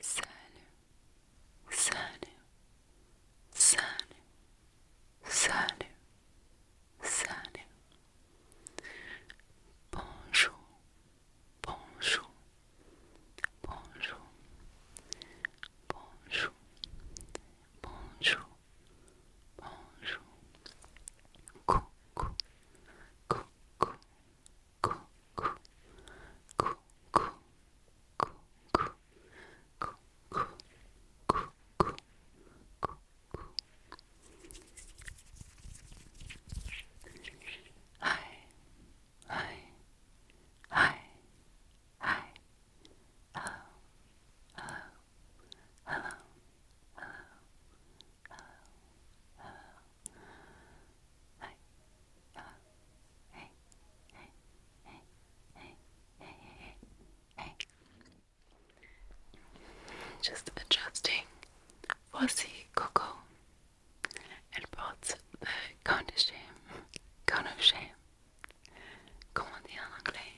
Salut, salut, salut, salut, salut. Bonjour, bonjour, bonjour, bonjour, bonjour, bonjour. Coucou, coucou, Coo, coo, coo, coo, coo, coo, coo, coo, coo, coo, coo, coo. Hi, hi, hi, hi. Hello, hello, hello, hello, hello, hello. hello. Just adjusting voici Coco Elle porte le de Conochem Comment on dit en anglais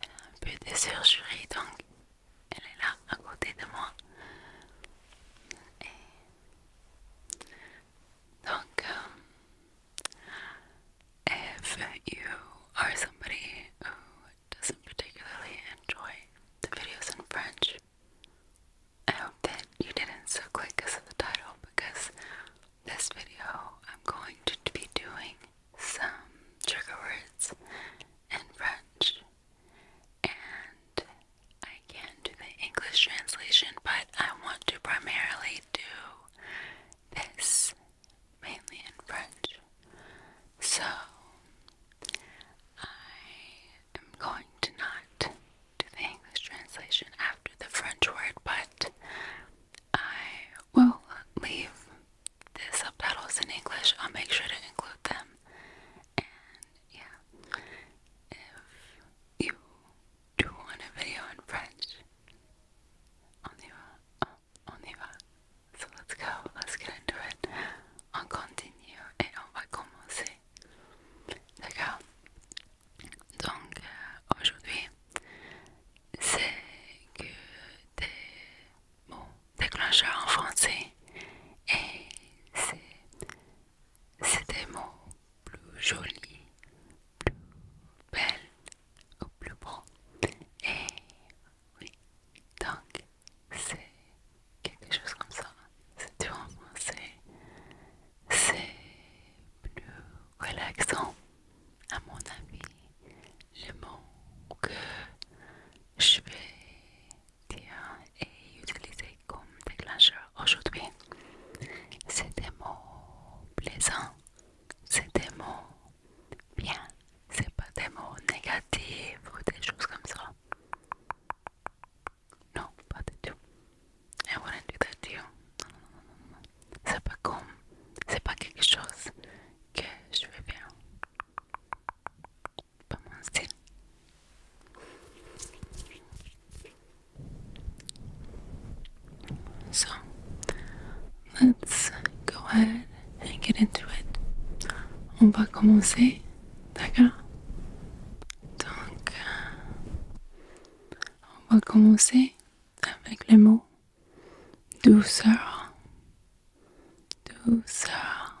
Elle a un peu de surgerie donc elle est là à côté de moi Donc, if you are somebody who doesn't particularly enjoy the videos in French, I hope that you didn't so click because of the title because this video I'm going to be doing some trigger words in French and I can do the English translation, but I want to primarily do this mainly in French. So I am going to not do the English translation after the French word, but I will leave the subtitles in English. I'll make sure to include them and yeah, if you do want a video in French, on y va, on y va. So let's go, let's get into it. On continue et on va commencer. D'accord? Donc euh, aujourd'hui, c'est que des mots déclencheurs en français et c'est C'est des mots plus jolis, plus belle, ou plus bon. Et oui, donc c'est quelque chose comme ça. C'est du français. C'est plus relaxant, à mon avis. les mots que je vais et utiliser utilisé comme déclencheur aujourd'hui. C'est des mots plaisants, c'est des mots bien, c'est pas des mots négatifs ou des choses comme ça. Non, pas du tout. I wouldn't do that non, non, C'est pas comme, c'est pas quelque chose que je veux bien commencer. So let's go ahead and get into it. On va commencer, d'accord? Donc, euh, on va commencer avec les mots douceur, douceur, douceur.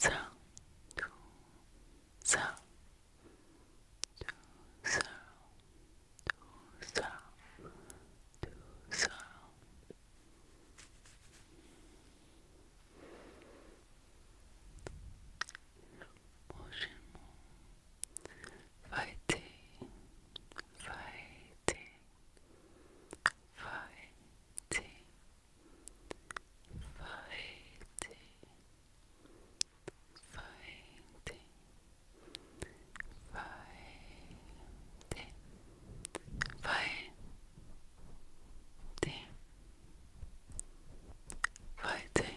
zero, two, zero, two, zero, two, zero, two, zero. Motion fighting, fighting, fighting, fighting, fighting, fighting, fighting, fighting, fighting, fighting, fighting.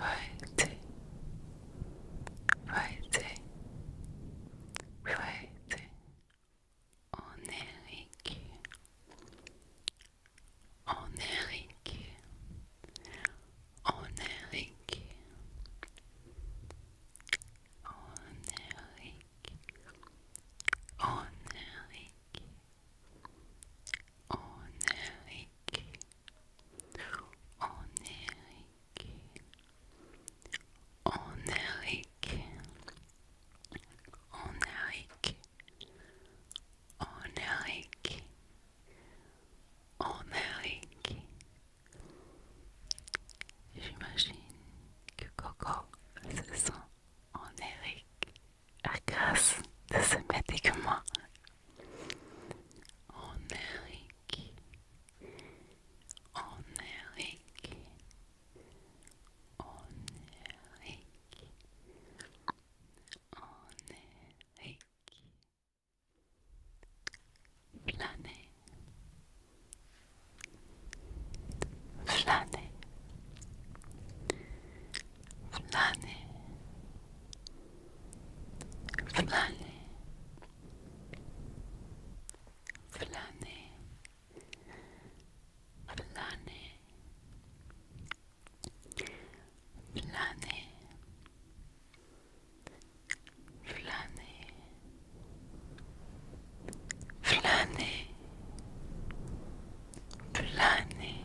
Right. Right. Right. Onérique. Onérique. Onérique. Onérique. Onérique. Onérique. Eric, Enrique, Eric, on Eric. J'imagine que Coco se sent en Eric à grâce de ce médicament onnelik onnelik onnelik onnelik Flane Flane Flane Fulani Fulani Fulani Fulani Fulani Fulani Fulani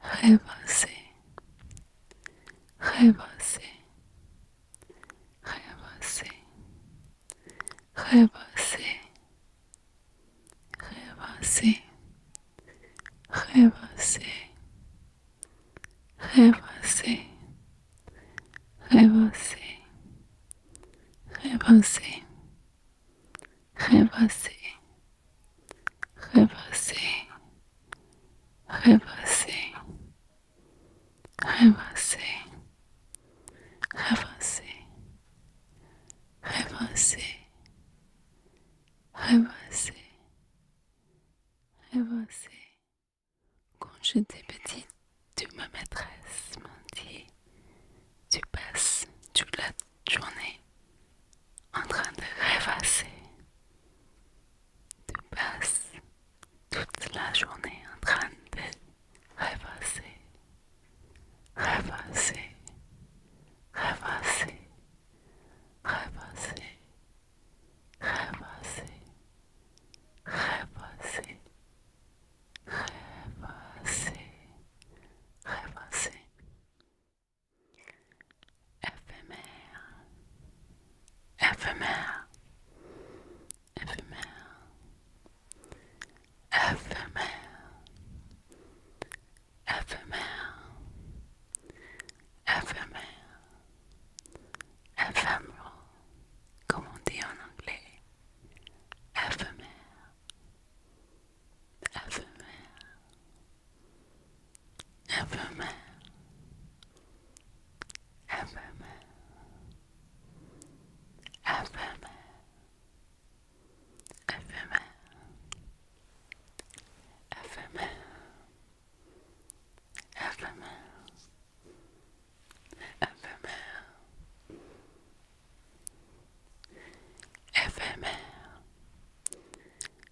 rêvasser, rêvasser, rêvasser, rêvasser, rêvasser, rêvasser, rêvasser, rêvasser, rêvasser, rêvasser. rebrasser, rebrasser, rebrasser, rebrasser, rebrasser, rebrasser, rebrasser. Quand j'étais petite, tu ma maîtresse m'ont dit, tu passes toute la journée en train de rêvasser. Tu passes toute la journée en train de rêvasser, rêvasser, rêvasser, rêvasser, rêvasser, rêvasser, rêvasser, rêvasser éphémère, FML, FML, FML, FML, FML. comme on dit en anglais, FML, FML. ever man, ever man, ever man, ever man, ever man, ever man, ever man. Ephemer,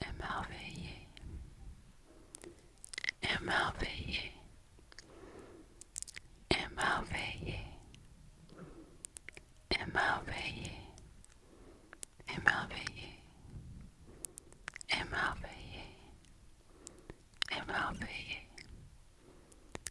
Émerveillé, émerveillé, émerveillé, émerveillé, émerveillé, émerveillé, émerveillé,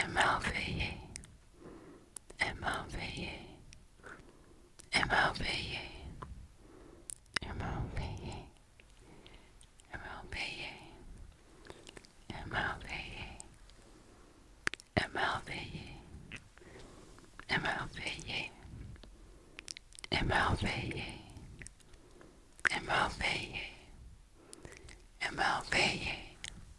émerveillé, émerveillé, émerveillé, émerveillé, émerveillé, émerveillé, émerveillé, émerveillé, émerveillé, émerveillé, émerveillé. Émerveillé,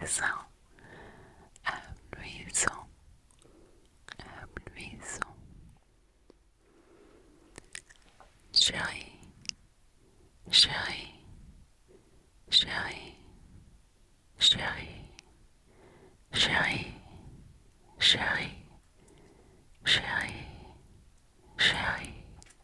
Avisão, avisão, avisão. Joy, joy, joy, joy, joy, joy, joy, joy, joy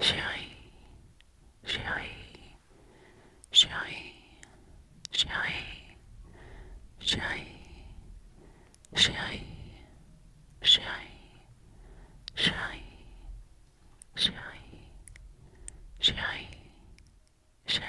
Chérie, chérie, chérie, chérie, chérie, chérie, chérie, chérie, chérie, chérie, chérie, chérie.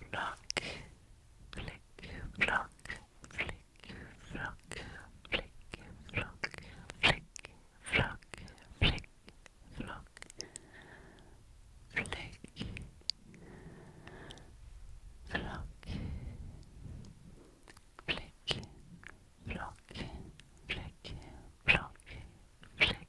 flock, flick, flock, flick, flock, flick, flock, flick, flock, flick, flock, flick, flock, flick, flock, flick, flock, flick.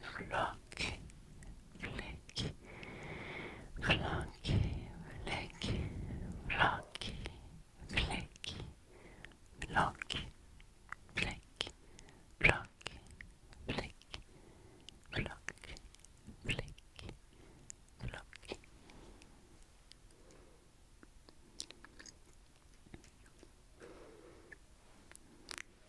Flock, flick, flocky, flick, flocky, flick, flocky, flick, flocky, flick, flock, flick, flocky.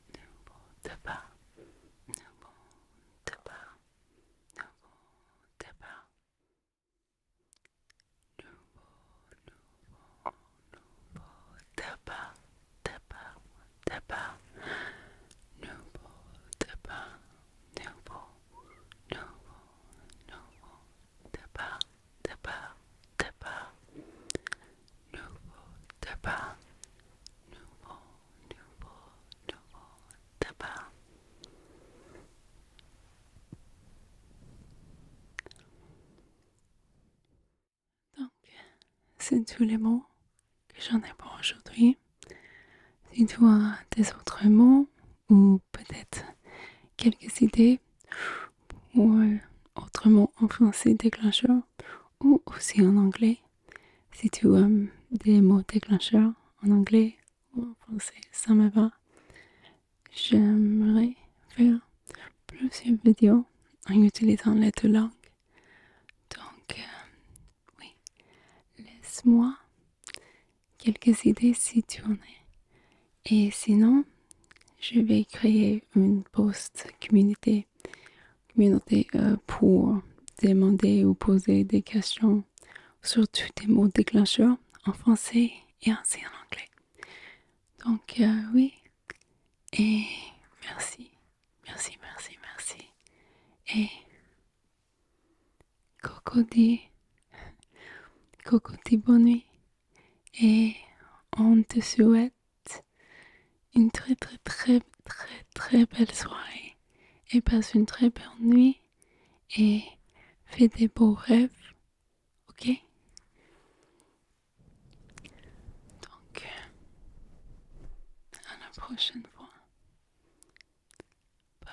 nouveau départ, nouveau départ, nouveau départ, nouveau, nouveau, nouveau départ, départ, départ, nouveau départ, nouveau, nouveau, nouveau départ. tabac, tabac, nouveau tabac, nouveau, nouveau, nouveau tabac. Donc, c'est tous les mots que j'en ai pour aujourd'hui. Si tu as des autres mots ou peut-être quelques idées ou autrement en français déclencheur, ou aussi en anglais, si tu aimes des mots déclencheurs en anglais ou en français, ça me va. J'aimerais faire plusieurs vidéos en utilisant les deux langues. Donc, euh, oui, laisse-moi quelques idées si tu en es Et sinon, je vais créer une post communauté, euh, pour demander ou poser des questions sur tous des mots déclencheurs en français et ainsi en anglais. Donc euh, oui, et merci, merci, merci, merci. Et Coco dit, Coco bonne nuit et on te souhaite une très très très très très belle soirée et passe une très belle nuit et fais des beaux rêves, ok Donc, à la prochaine fois. Bye!